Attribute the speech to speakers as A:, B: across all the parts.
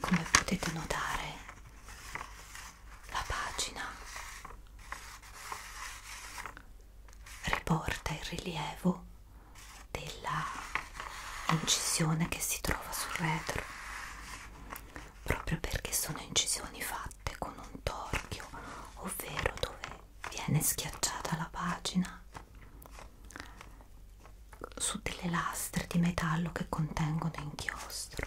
A: Come potete notare, la pagina riporta il rilievo della incisione che si trova sul retro, proprio perché sono incisioni fatte con un torchio, ovvero dove viene schiacciata la pagina su delle lastre di metallo che contengono inchiostro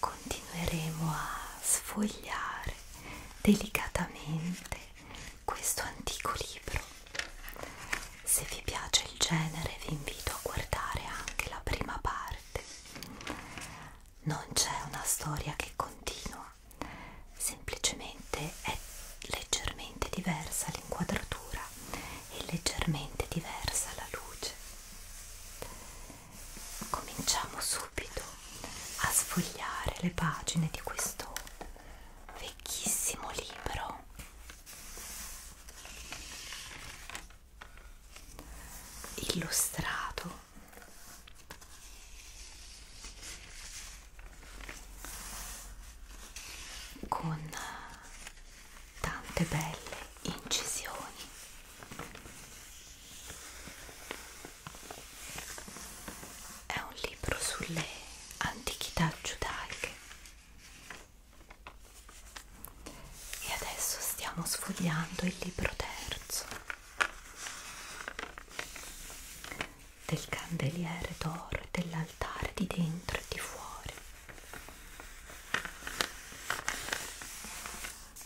A: continueremo a sfogliare delicatamente questo antico libro. Se vi piace il genere vi invito a guardare anche la prima parte. Non c'è una storia che continua, semplicemente è leggermente diversa l'inquadratura e leggermente diversa la luce cominciamo subito a sfogliare le pagine di questo vecchissimo libro illustrato con tante belle incisioni è un libro sulle antichità giudaiche e adesso stiamo sfogliando il libro terzo del candeliere d'oro e dell'altare di dentro e di fuori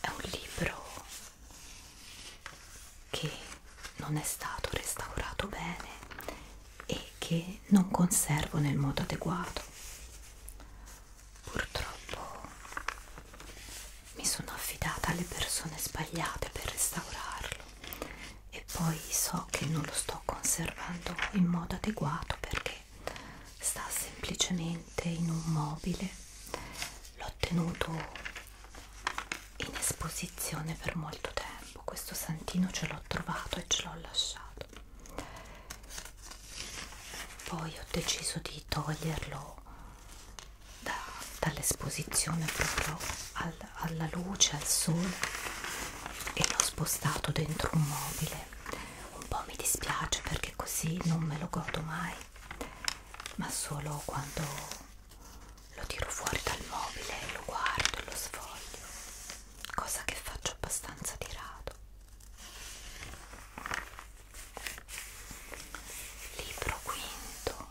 A: È un libro che non è stato restaurato bene e che non conservo nel modo adeguato. Purtroppo mi sono affidata alle persone sbagliate per restaurarlo e poi so che non lo sto conservando in modo adeguato perché sta semplicemente in un mobile l'ho tenuto in esposizione per molto tempo questo santino ce l'ho trovato e ce l'ho lasciato poi ho deciso di toglierlo da, dall'esposizione proprio al, alla luce al sole e l'ho spostato dentro un mobile un po' mi dispiace perché così non me lo godo mai ma solo quando lo tiro fuori dal mobile e lo guardo e lo sfoglio cosa che faccio abbastanza di rado libro quinto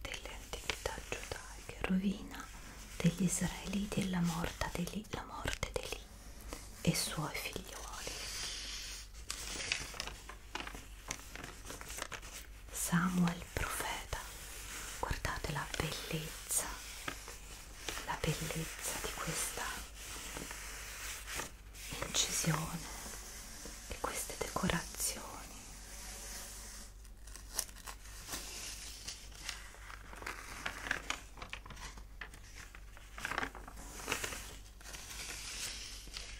A: delle antichità giudaiche rovina degli israeliti la morte di Eli e suoi figlioli Samuel profeta, guardate la bellezza, la bellezza di questa incisione, di queste decorazioni.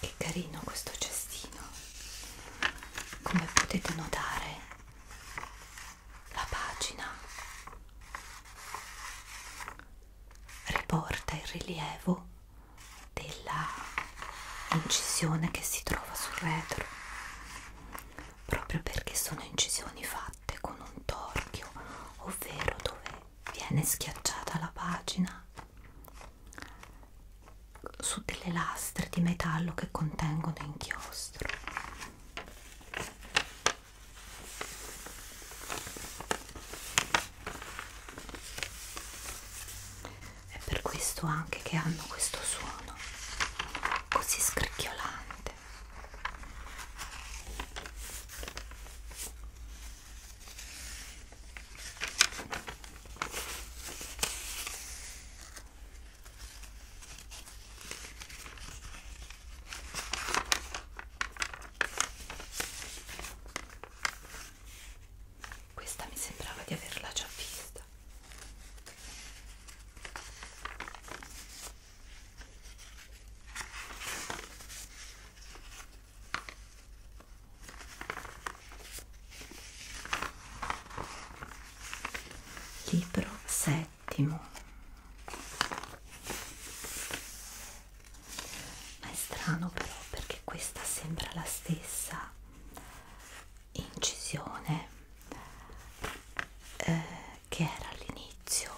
A: Che carino questo cestino. Come potete notare, la pagina riporta il rilievo della incisione che si trova sul retro proprio perché sono incisioni fatte con un torchio, ovvero dove viene schiacciata la pagina su delle lastre di metallo che contengono inchiostro. È per questo anche che hanno questo suono così scricchiolante questa mi sembrava di averla già vista Libro settimo. Ma è strano però perché questa sembra la stessa incisione eh, che era all'inizio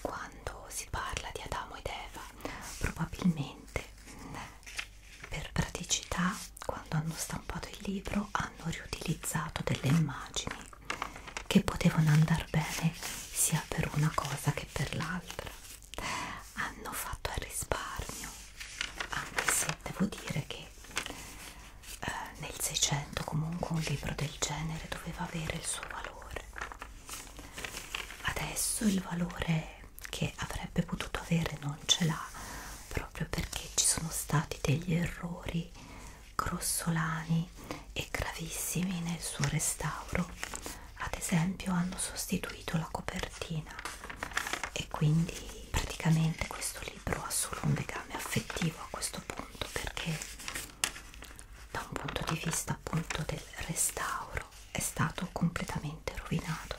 A: quando si parla di Adamo ed Eva probabilmente mm, per praticità quando hanno stampato il libro hanno riutilizzato delle immagini che potevano andare bene sia per una cosa che per l'altra hanno fatto il risparmio anche se devo dire che eh, nel 600 comunque un libro del genere doveva avere il suo valore adesso il valore che avrebbe potuto avere non ce l'ha proprio perché ci sono stati degli errori grossolani e gravissimi nel suo restauro ad esempio hanno sostituito la copertina e quindi praticamente questo libro ha solo un legame affettivo a questo punto perché da un punto di vista appunto del restauro è stato completamente rovinato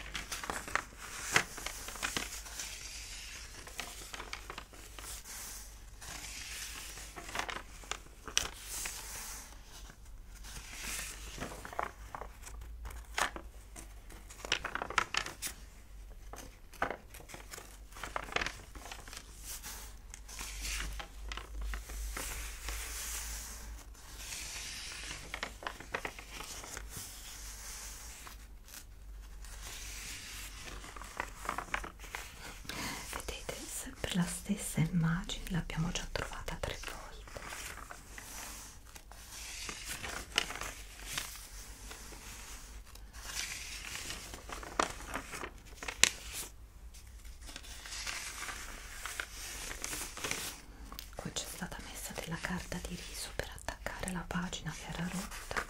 A: Vedete, sempre la stessa immagine l'abbiamo già trovata tre volte Qui c'è stata messa della carta di riso per attaccare la pagina che era rotta.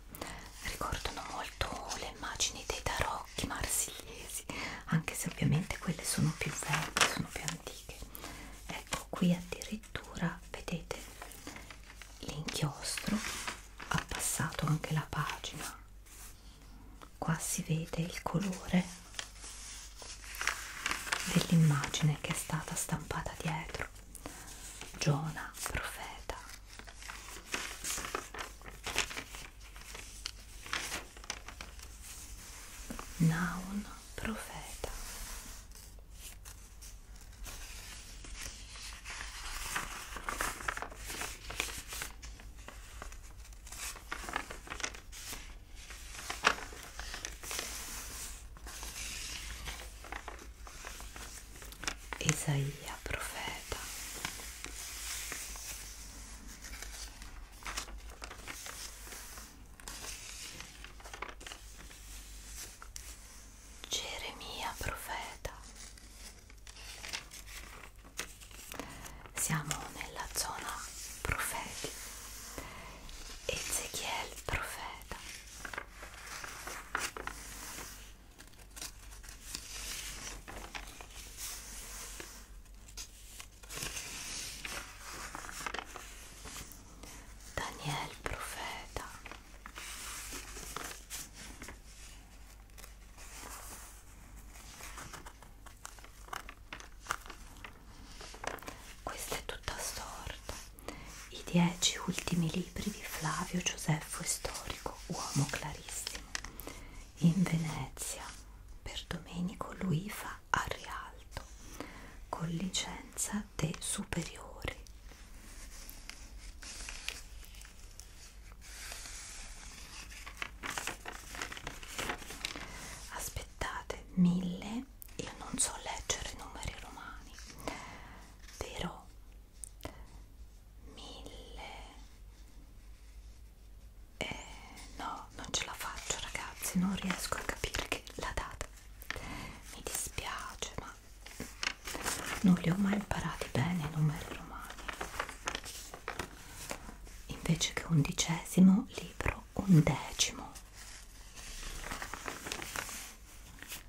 A: ricordano molto le immagini dei tarocchi marsigliesi anche se ovviamente quelle sono più vecchie sono più antiche ecco qui addirittura vedete l'inchiostro ha passato anche la pagina qua si vede il colore dell'immagine che è stata stampata dietro Giona profeta Naun profeta Isaia profeta Geremia profeta siamo nella zona profeti Ezechiel profeta Daniel profeta questa è tutta storta i dieci ultimi libri di Flavio Giuseppo Storico, uomo clarissimo, in Venezia per Domenico Luifa a Rialto, con licenza de superiori. Aspettate, mille, io non so leggere numeri romani, però mille eh, no non ce la faccio ragazzi non riesco a capire che la data mi dispiace ma non li ho mai imparati bene i numeri romani invece che undicesimo libro undecimo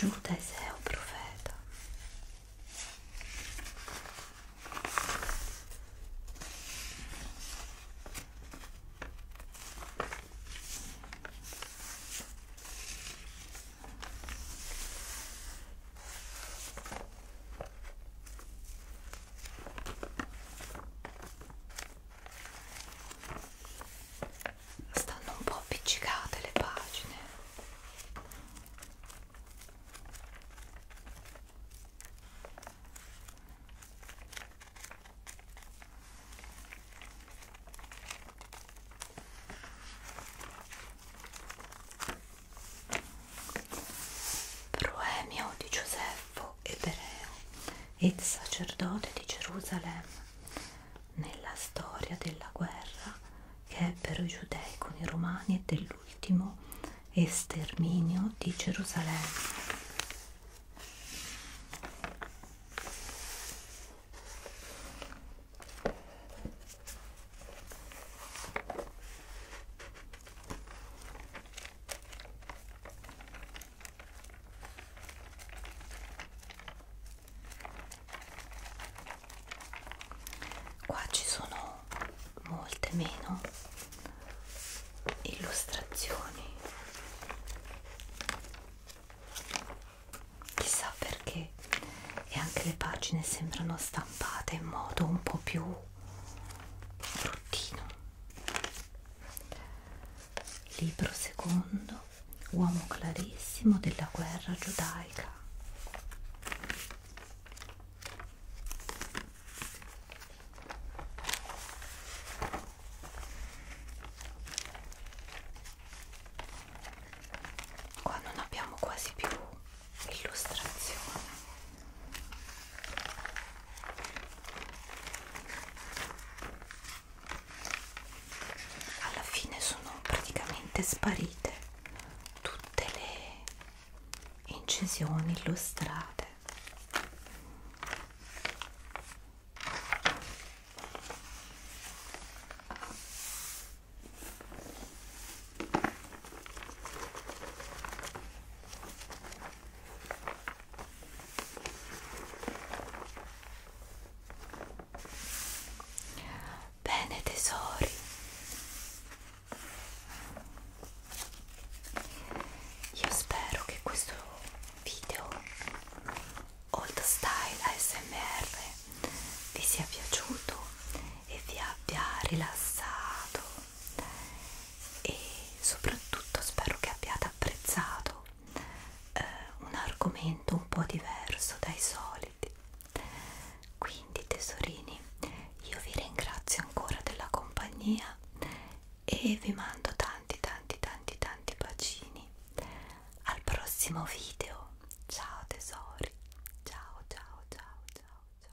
A: Giuda è un profeta Stanno un po' appiccicate le pagine. Proemio di Giuseppe ebreo ed sacerdote di Gerusalemme nella storia della guerra che ebbero i giudei con i romani e del all'ultimo esterminio di Gerusalemme. Qua ci sono molte meno illustrazioni chissà perché e anche le pagine sembrano stampate in modo un po' più bruttino libro secondo uomo clarissimo della guerra giudaica Qua non abbiamo quasi più illustrazione. Alla fine sono praticamente sparite tutte le incisioni illustrate Bene tesori, io spero che questo video Old Style ASMR vi sia piaciuto e vi abbia rilassato e soprattutto spero che abbiate apprezzato eh, un argomento un po' diverso dai soliti freddi quindi tesorini io vi ringrazio ancora della compagnia e vi mando tanti tanti tanti tanti bacini al prossimo video ciao tesori ciao ciao ciao ciao ciao ciao